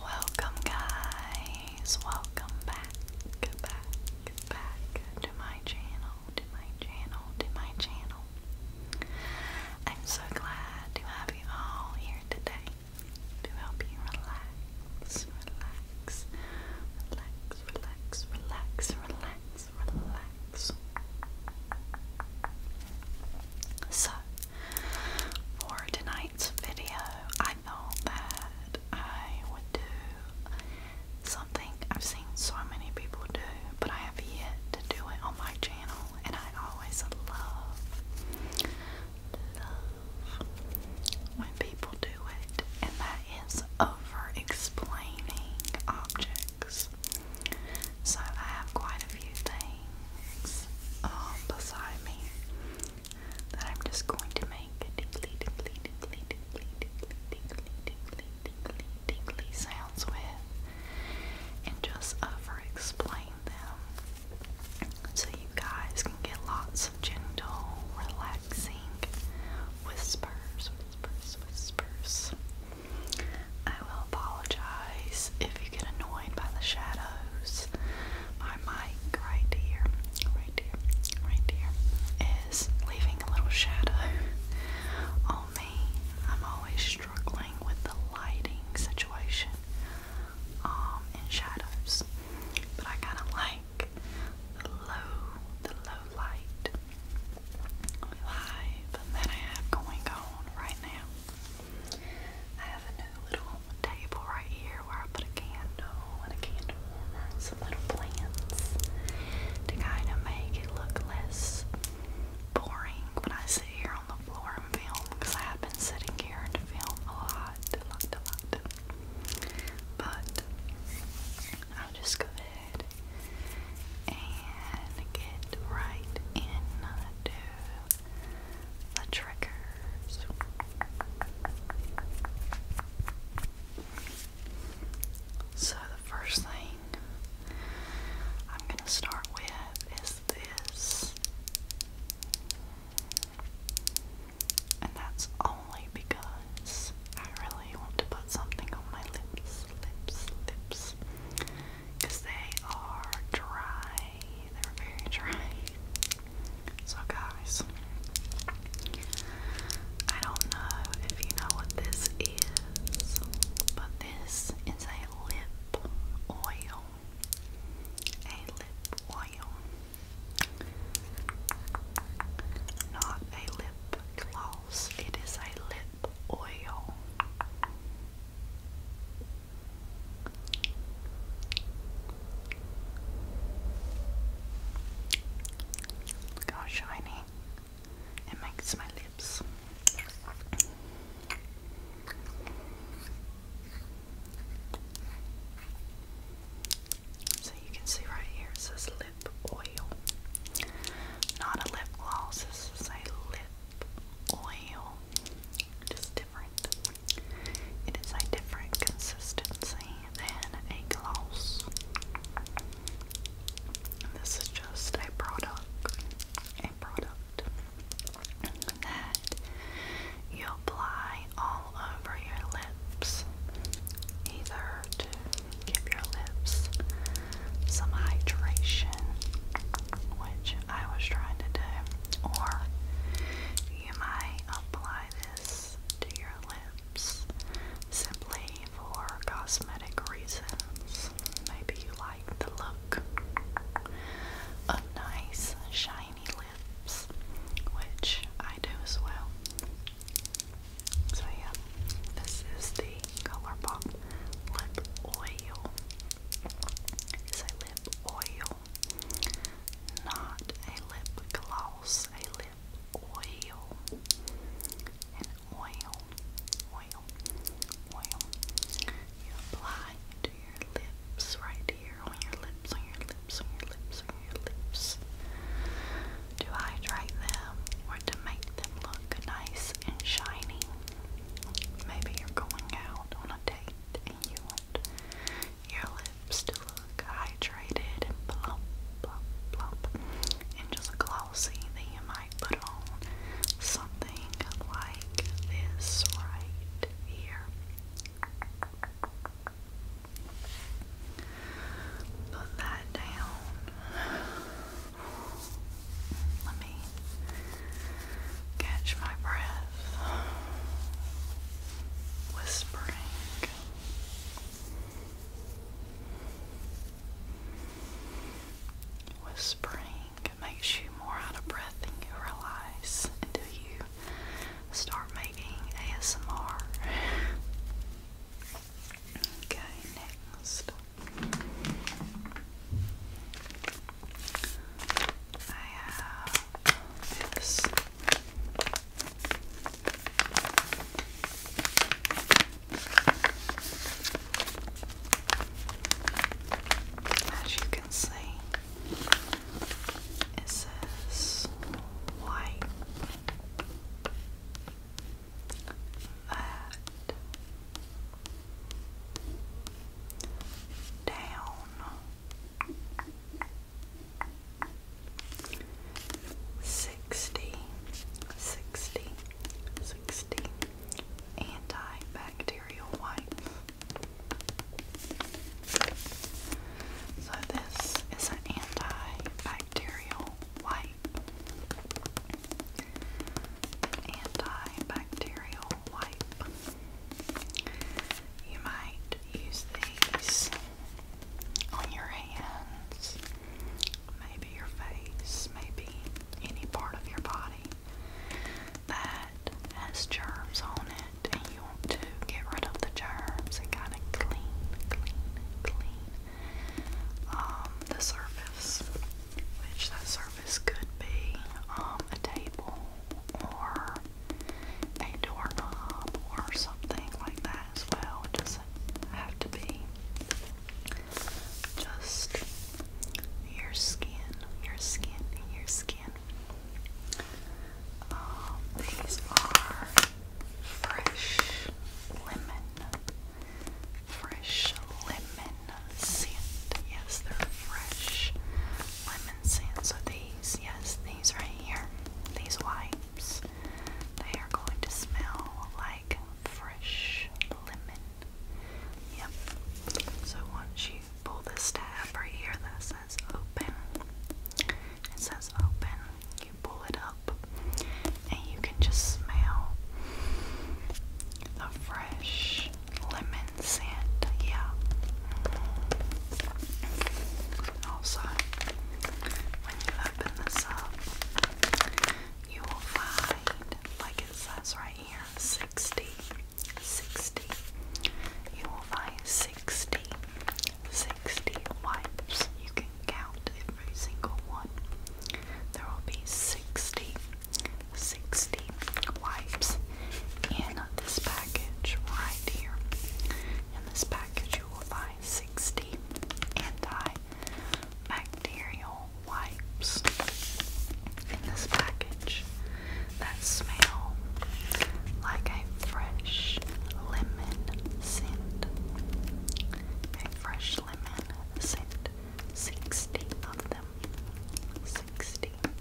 Welcome, guys. Welcome back, back, back to my channel, to my channel, to my channel. I'm so glad to have you all here today to help you relax, relax, relax, relax, relax, relax. So, for tonight's video, I thought that I would do something I've seen so many people do, but I have yet to do it on my channel, and I always love, love when people do it, and that is over explaining objects. So I have quite a few things um, beside me that I'm just going to make tickly, tickly, tickly, tickly, tickly, tickly, tickly, tickly, tickly sounds with and just over explain them so you guys can get lots of gentle, relaxing whispers, whispers, whispers. I will apologize if you get annoyed by the shadows. My mic right here, right here, right here is leaving a little shadow on me. I'm always struggling with the lighting situation um, and shadows, but I kind of like the low, the low light live that I have going on right now. I have a new little table right here where I put a candle and a candle warmer and some little plants to kind of make it look less boring when I sit here on the floor and film because I have been sitting here and filming a lot, a lot, a lot. But I'll just go ahead and and get right into the triggers. So, the first thing I'm going to start with is this, and that's only because I really want to put something on my lips, lips, lips because they are dry. They're very dry. So, guys, I don't know if you know what this is, but this is a lip oil. A lip oil. Not a lip gloss, it is a lip oil. Look how shiny it makes my lips. So you can see right here it says lip oil. Not a lip gloss, this is a lip oil just different. It is a different consistency than a gloss. This is just a product, a product that you apply all over your lips, either to give your lips some hydration, which I was trying to do, or you might apply this to your lips simply for cosmetic reasons. Maybe you like the look of nice, shiny lips, which I do as well. So, yeah, this is the ColourPop Lip Oil is a lip oil, not a lip gloss, a lip oil. An oil, oil, oil. You apply to your lips right here, on your lips, on your lips, on your lips, on your lips. To hydrate them or to make them look nice and shiny. Maybe you're going out on a date and you want your lips to look hydrated and plump, plump, plump, and just glossy. Then you might put on something like this right here. Put that down. Let me catch my breath. Whispering. Whispering makes you more out of breath than you realize until you start making ASMR. Okay, next. As you can see, it says white. That down sixty, sixty, sixty antibacterial wipes. So this is an antibacterial wipe. Antibacterial wipe. You might use these on your hands, maybe your face, maybe any part of your body that has germs on it, and you want to get rid of the germs and kind of clean, clean, clean um, the surface which that surface could be um, a table or a doorknob or something like that as well. It doesn't have to be just your skin, your skin, your skin. Um, these are fresh lemon, fresh lemon lemon scent. Yes, they're fresh lemon scent. So these, yes, these right here, these wipes, they are going to smell like fresh lemon. Yep. So once you pull this tab right here that says open, it says open, you pull it up and you can just smell the fresh lemon sand, yeah. Mm. Also, when you open this up, you will find, like it says right here, 60, You will find 60, wipes. You can count every single one. There will be 60 60 wipes in this package right here. In this package, you will find 60 antibacterial wipes in this package that smell like a fresh lemon scent. A fresh lemon scent. 60 of them them, sixty of them.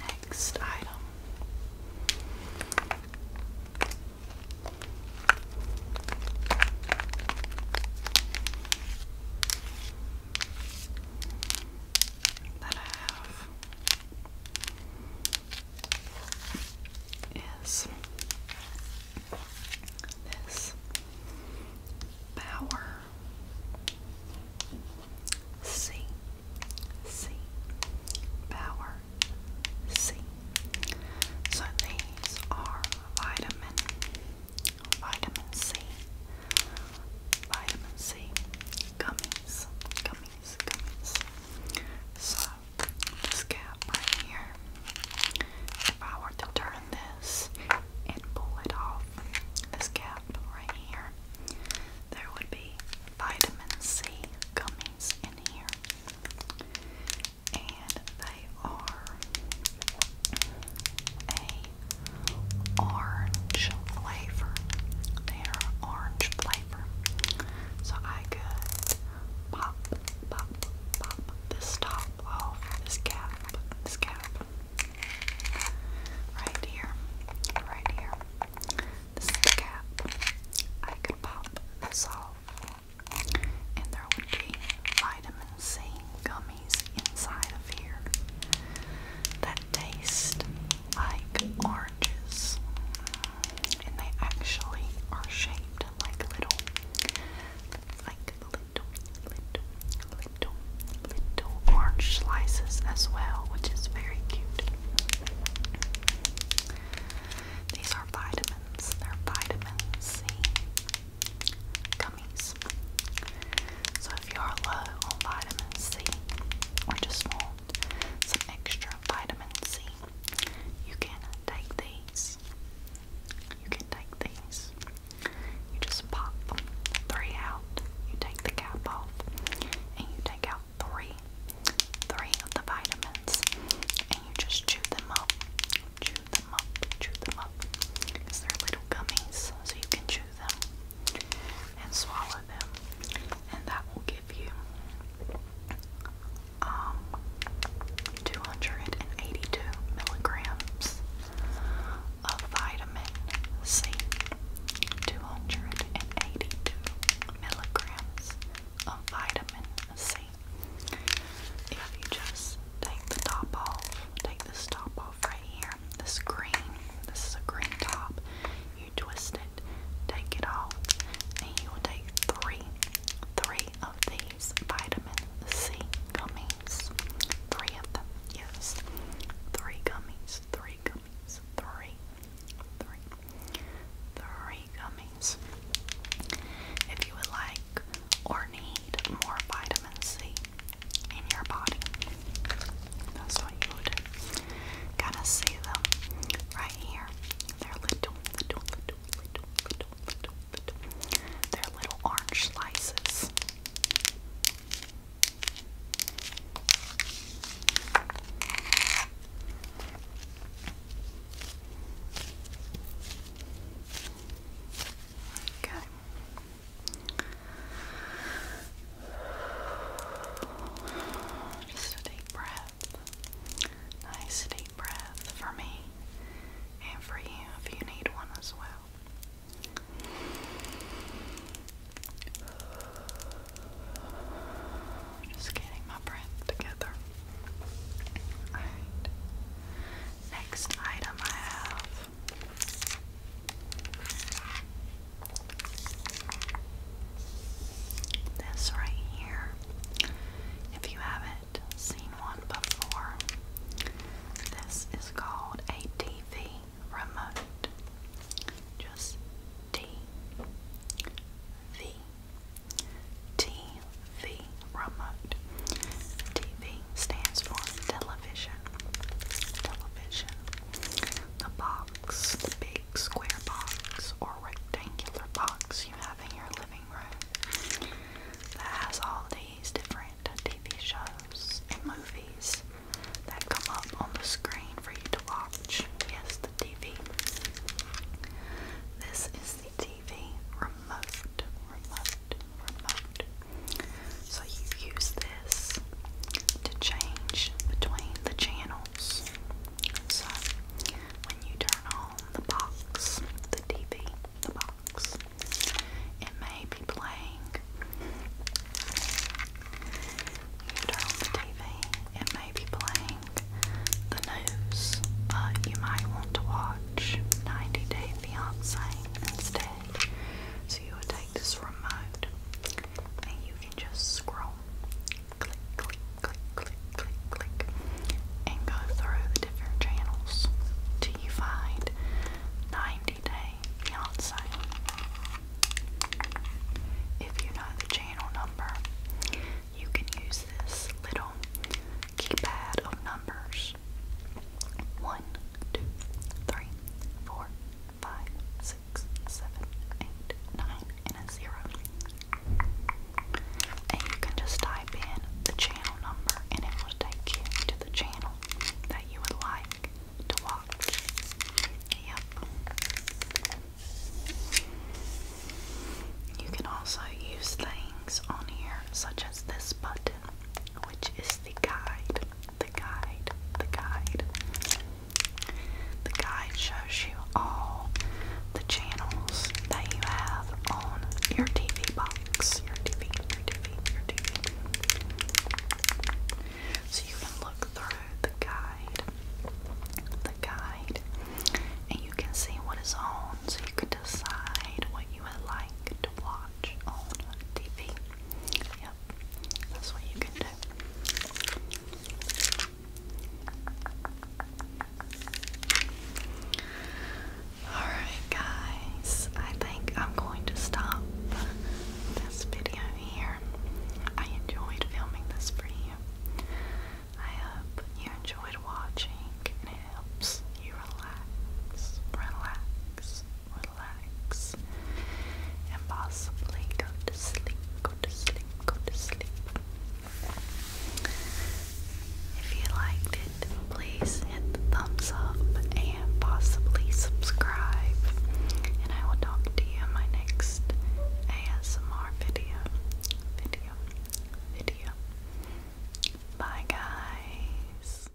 Next item. that I have is this power C C power C. So these are vitamin vitamin C vitamin C gummies gummies. So, this cap right here, if I were to turn this and pull it off, this cap right here, there would be vitamin C gummies in here. And they are a orange flavor. They are orange flavor paper. So I could pop, pop, pop this top off, this cap, this cap. Right here, right here. This is the cap. I could pop this off, and there would be vitamin C gummies inside of here. That taste like oranges, and they actually are shaped like little, like little, little, little, little orange slices as well, which is very cute. These are vitamins. They're vitamin C gummies. So if you are low on vitamin C or just want and some extra vitamin C. You can take these. You can take these. You just pop three out. You take the cap off, and you take out three, three of the vitamins, and you just chew them up, chew them up, chew them up. they they're little gummies, so you can chew them and swallow them, and that will give you um, 282 milligrams of vitamin C. 282 milligrams of vitamin C. If you just take the top off, take this top off right here, this green, this is a green top you twist it, take it off, and you will take three, three of these vitamin C gummies. Three of them, yes. Three gummies, three gummies, three, three, three gummies. If you would like or need more vitamin C in your body, that's what you would do. Gotta see them right here. They're little, little, little, little, little, little, little. they little orange slices. Okay. Just a deep breath. Nice deep breath for me and for you if you need one as well. Just getting my breath together. Alright. Next item I have this right here, if you haven't seen one before, this is called a TV remote. Just T V remote. TV stands for television. Television. The box, square box or rectangular box you have in your living room that has all these different TV shows and movies that come up on the screen for you to watch. Yes, the TV. This is the TV remote, remote, remote. So you use this to change between the channels. So when you turn on the box, the TV, the box, it may be playing. You turn on the TV, it may be playing the news. Uh, you might want to watch 90 Day Fiance instead. So you would take this remote and you can just scroll, click, click, click, click, click, click, and go through the different channels till you find 90 Day Fiance. If you know the channel number, you can use this little keypad of numbers. One, two, three, four, five, six, seven, eight, nine, and zero and you can just type in the channel number and it will take you to the channel that you would like to watch. Yep. You can also use things on here such as this button, which is the guide, the guide, the guide. The guide shows you all the channels that you have on your TV box. Your TV, your TV, your TV. So you can look through the guide, the guide, and you can see what is on. So you can decide what you would like to watch on TV. Yep, that's what you can do. Alright, guys, I think I'm going to stop this video here. I enjoyed filming this for you. I hope you enjoyed watching and it helps you relax, relax, relax, and possibly go to sleep, go to sleep, go to sleep. If you liked it, please hit the thumbs up and possibly subscribe. And I will talk to you in my next ASMR video. Video. Video. Bye, guys.